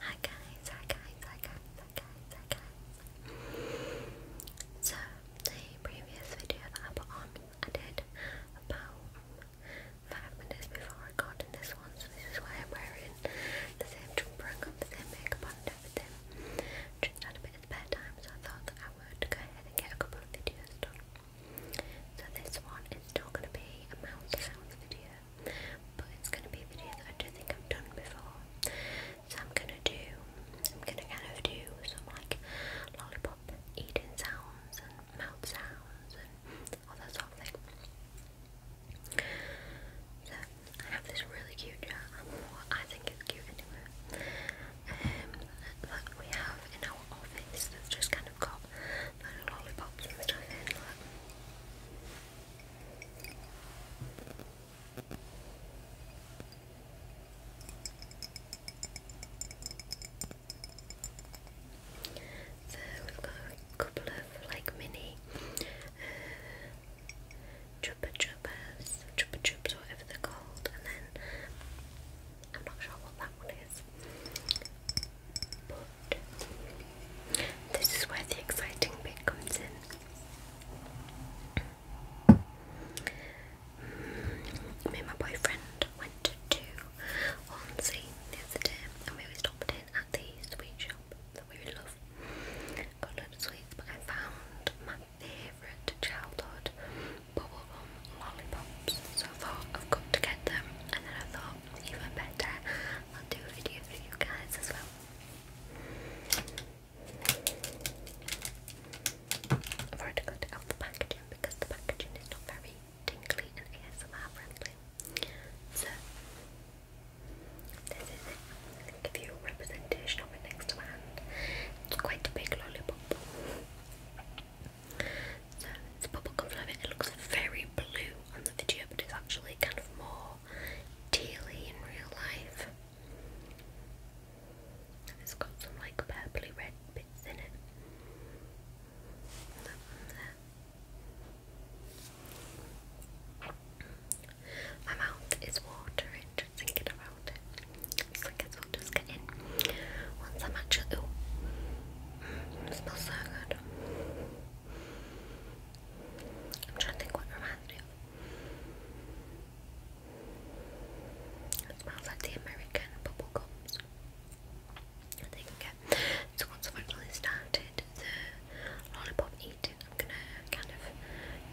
Hi guys, hi guys, hi guys, hi guys, hi guys. So the previous video that I put on, I did about five minutes before recording this one, so this is why I'm wearing the same jumper and got the same makeup on and Just had a bit of spare so I thought that I would go ahead and get a couple of videos done. So this one is still gonna be a mouth sounds video but it's going to be a video that I don't think I've done before. So I'm going to do, I'm going to kind of do some like lollipop eating sounds and mouth sounds and all that sort of thing. So I have this really cute jar, well, I think it's cute anyway, um, that we have in our office that's just kind of got like lollipops and stuff in like, so we've got a couple of like mini uh, chopper choppers, chopper whatever they're called, and then I'm not sure what that one is. This is where the exciting bit comes in. Mm. Me and my boyfriend went to Hornsey the other day and we stopped in at the sweet shop that we love. Got sweets, but I found my favourite childhood bubblegum lollipops. So I I've got to get them and then I thought even better I'll do a video for you guys as well. I've already got out the packaging because the packaging is not very tinkly and ASMR friendly. So, this is it. I'll give you a representation of it next to my hand. It's quite a big lollipop. So, it's bubblegum flavour. It looks very blue on the video, but it's actually kind of more daily in real life. It's got some like purpley red bits in it. My mouth is watering just thinking about it. I guess I'll just get in. Once I'm actually. it smells so good. I'm trying to think what reminds me of. smells like the American bubble I think So once I've actually started the lollipop eating, I'm gonna kind of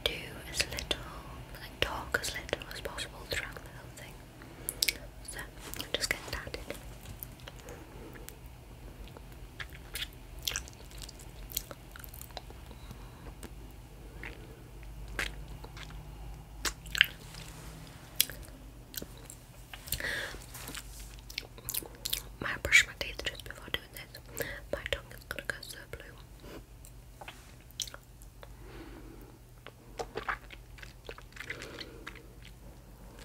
do as little, like talk as little as possible throughout the whole thing. So I'm just getting started. I brush my teeth just before doing this. My tongue is gonna go so blue.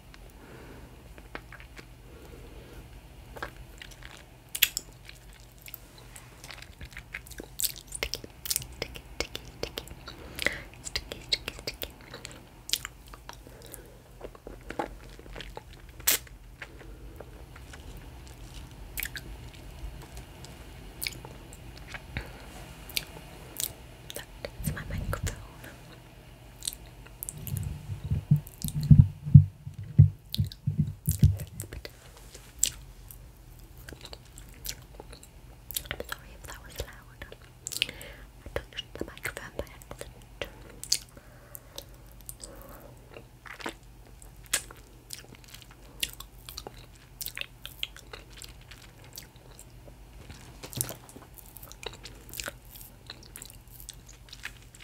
Sticky, sticky, sticky, sticky. Sticky, sticky, sticky. That is my microphone. I'm sorry if that was loud. I touched the microphone by accident.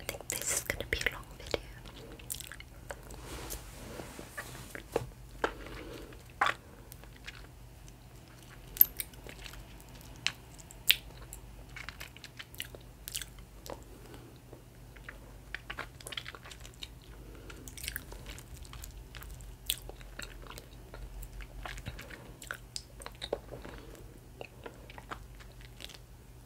I think this is going to be a long video.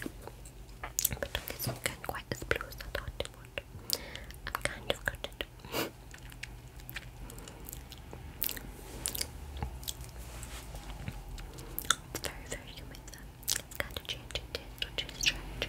But look, it's not quite as blue as I thought it would. I'm kind of good at it. It's very, very humid though. It's kind of changing tint, which is strange.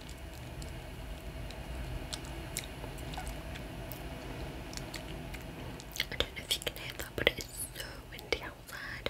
I don't know if you can hear that, but it is so windy outside.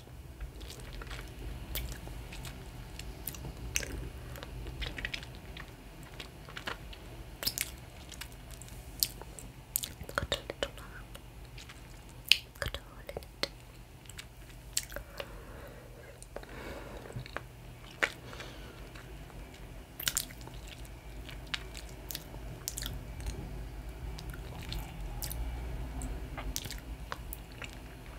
It's got a little arm. It's got a hole in it.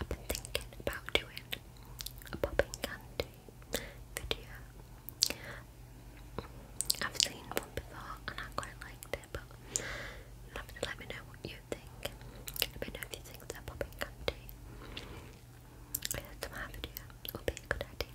I've been thinking about doing a popping candy video. I've seen one before and I quite liked it, but you'll let me know what you think. Let me know if you think that popping candy to my video would be a good idea.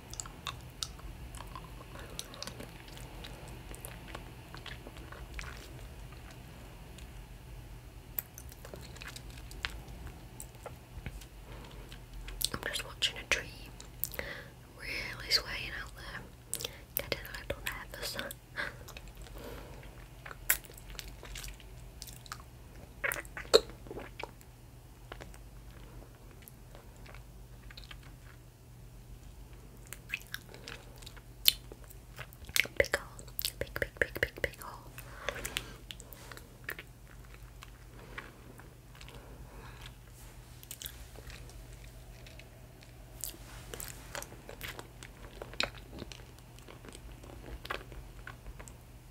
I'm just watching a tree really swaying out there, getting a little nervous. Big hole. Big, big, big, big, big hole.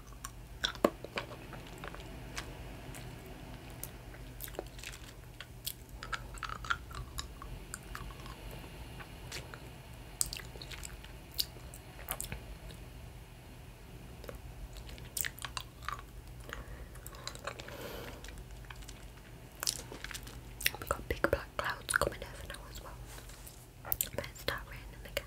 We've got big black clouds coming over now as well. But it's start raining again.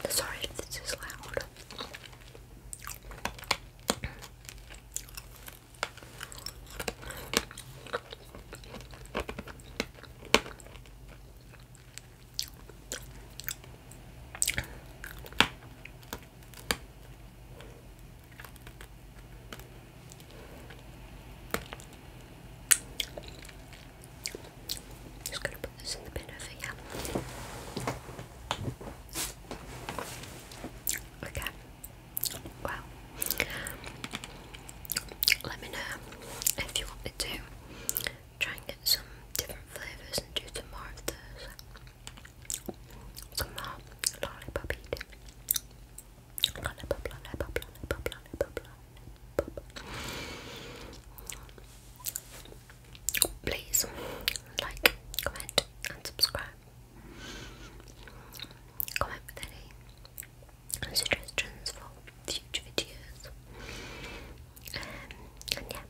I'm sorry if this is loud. Just gonna put this in the bin over here. Okay. Well, let me know if you want me to try and get some different flavours and do some more of those. Some more lollipop please like, comment, and subscribe. Comment with any suggestions for future videos. Um, and yeah,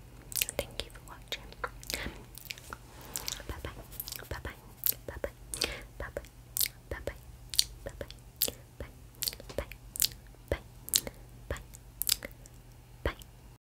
thank you for watching. Bye bye, bye bye, bye bye, bye bye, bye bye, bye bye, bye bye, bye bye, bye. bye.